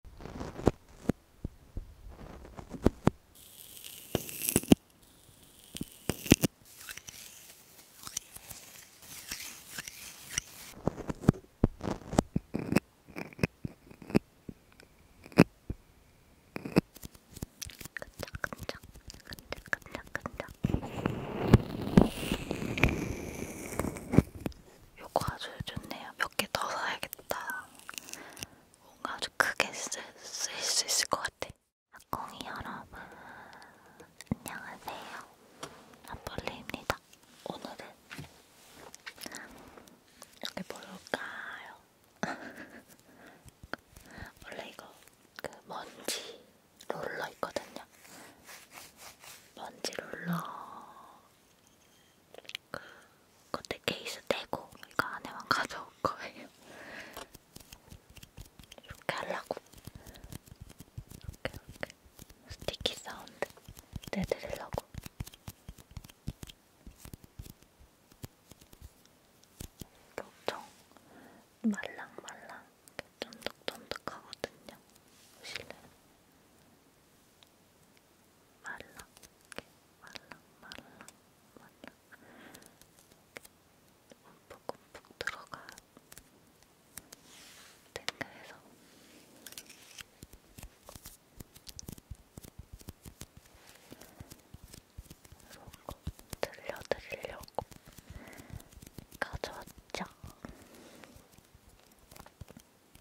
끈적끈적 끈적끈적끈적 요거 아주 좋네요. 몇 개 더 사야겠다. 뭔가 아주 크게 쓰, 쓰일 수 있을 것 같아. 학공이 여러분 안녕하세요. 한벌레입니다. 오늘은 이렇게 볼까요? 원래 이거 그 먼지 롤러 있거든요. 먼지 롤러 그때 케이스 떼고 이거 안에만 가져올 거예요. 이렇게 하려고. 이렇게 이렇게 스티키 사운드 내드리려고. 엄청 말랑말랑 쫀득쫀득하거든요. 보실래요? 말랑, 말랑, 말랑, 말랑. 움푹움푹 들어가 탱글해서 속고 들려드리려고 가져왔죠.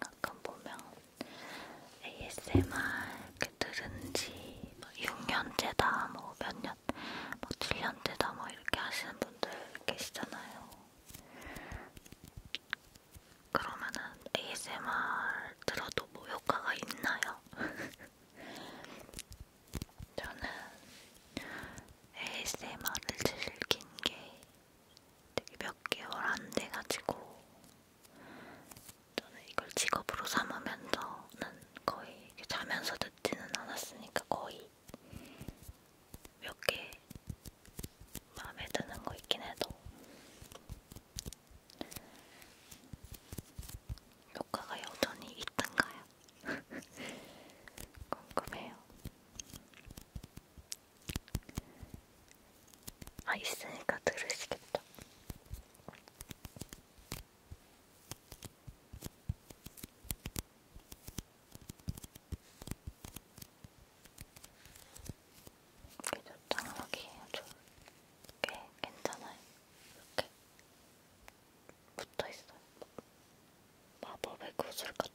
가끔 보면 ASMR 그 들은지 뭐 6년째다, 뭐 몇 년, 뭐 7년째다, 뭐 이렇게 하시는 분들 계시잖아요. 그러면은 ASMR 들어도 뭐 효과가 있나요? 저는 ASMR을 즐긴 게 되게 몇 개월 안 돼가지고 저는 이걸 직업으로 삼으면서는 거의 자면서 듣지는 않았으니까 거의 몇개 마음에 드는 거 있긴 해도 효과가 여전히 있던가요? 궁금해요. 아, 있으니까 들으시겠죠? 이렇게 적당하게 좋게 괜찮아요. 이렇게 붙어 있어요. 마법의 구슬 같죠?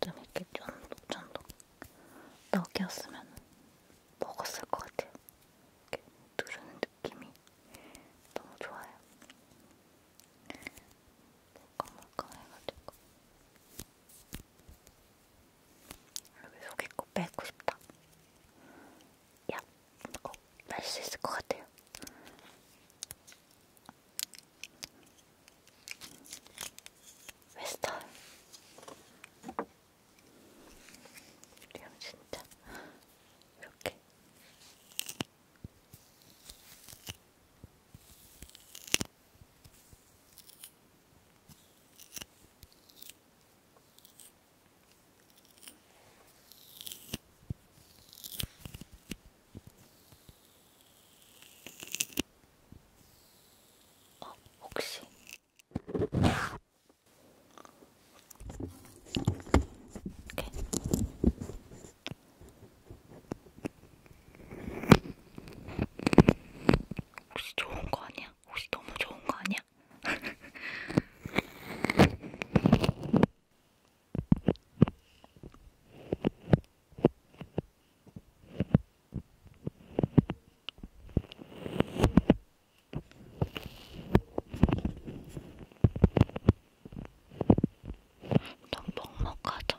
좀 이렇게 쫀득쫀득 떡이었으면 먹었을 것 같아요. 이렇게 누르는 느낌이 너무 좋아요. 물컹물컹해가지고 여기 속에 꼭 뺄고 싶다. 야, 꼭뺄수 있을 것 같아요. 웨스턴 우리 형 진짜 이렇게 어, 혹시 이렇게. 혹시 좋은 거 아니야? 혹시 너무 좋은 거 아니야? 좀 먹먹하죠?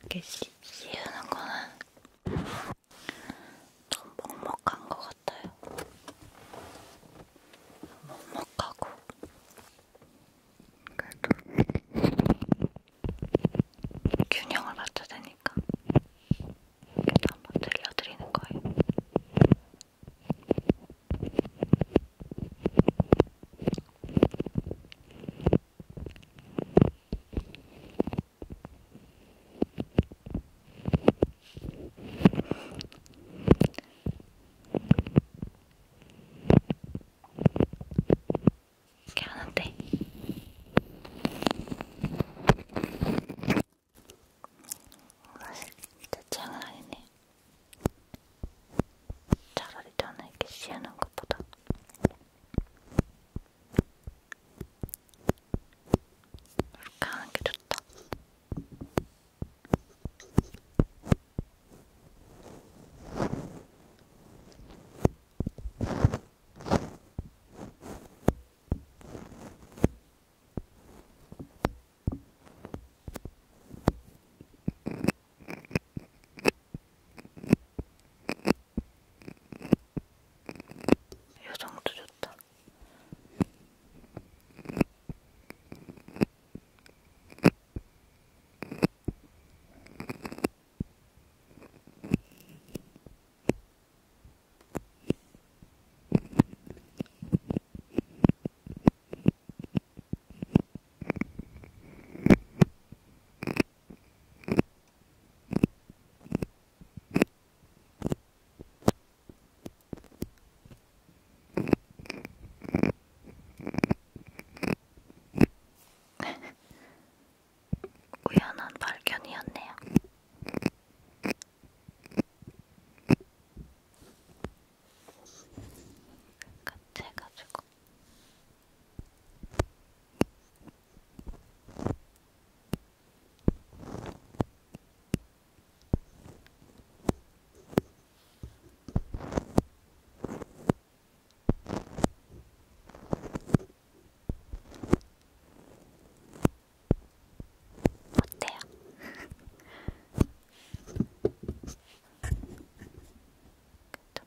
이렇게 씨, 씌우는 거는 좀 먹먹한 것 같아요. 먹먹하고 그래도 균형을 맞춰야 되니까 이렇게 한번 들려드리는 거예요. 이렇게 하는데 사실 제 취향은 아니네. 차라리 저는 이렇게 씌우는 것보다 이렇게 하는 게 좋다. 요정도 좋다. 우연한 발견이었네요. 같이 해가지고 어때요? 좀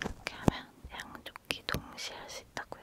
이렇게 하면 양쪽 귀 동시에 할 수 있다고요.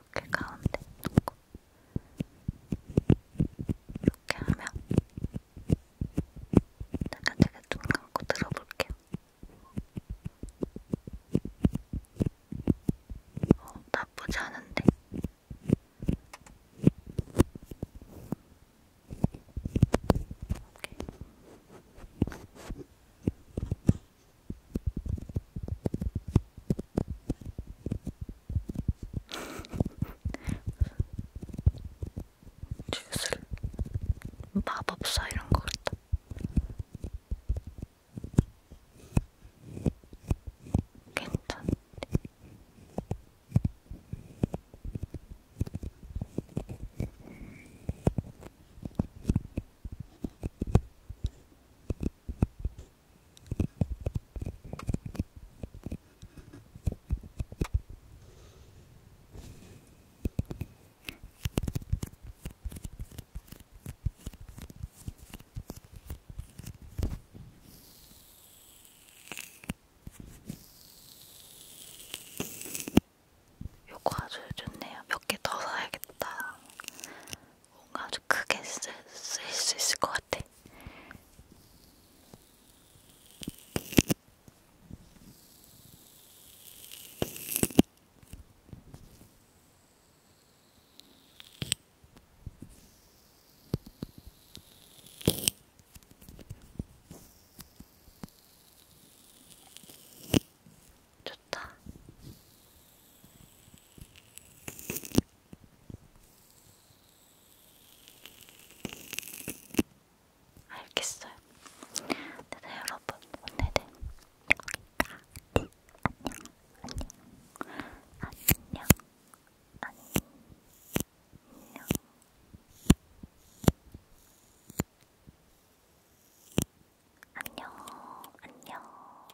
이렇게 가운데 놓고 이렇게 하면 제가 되게 눈 감고 들어볼게요. 어, 나쁘지 않은데? 오케이. 주술, 마법사 이런 거 같다. 괜찮네. 요거 아주 좋네요. 몇 개 더 사야겠다. 뭔가 아주 크게 쓰, 쓰일 수 있을 것 같아. 좋다. 알겠어요. 네, 네 여러분 오늘은 여기까지 안녕 안녕 안녕 안녕 안녕 안녕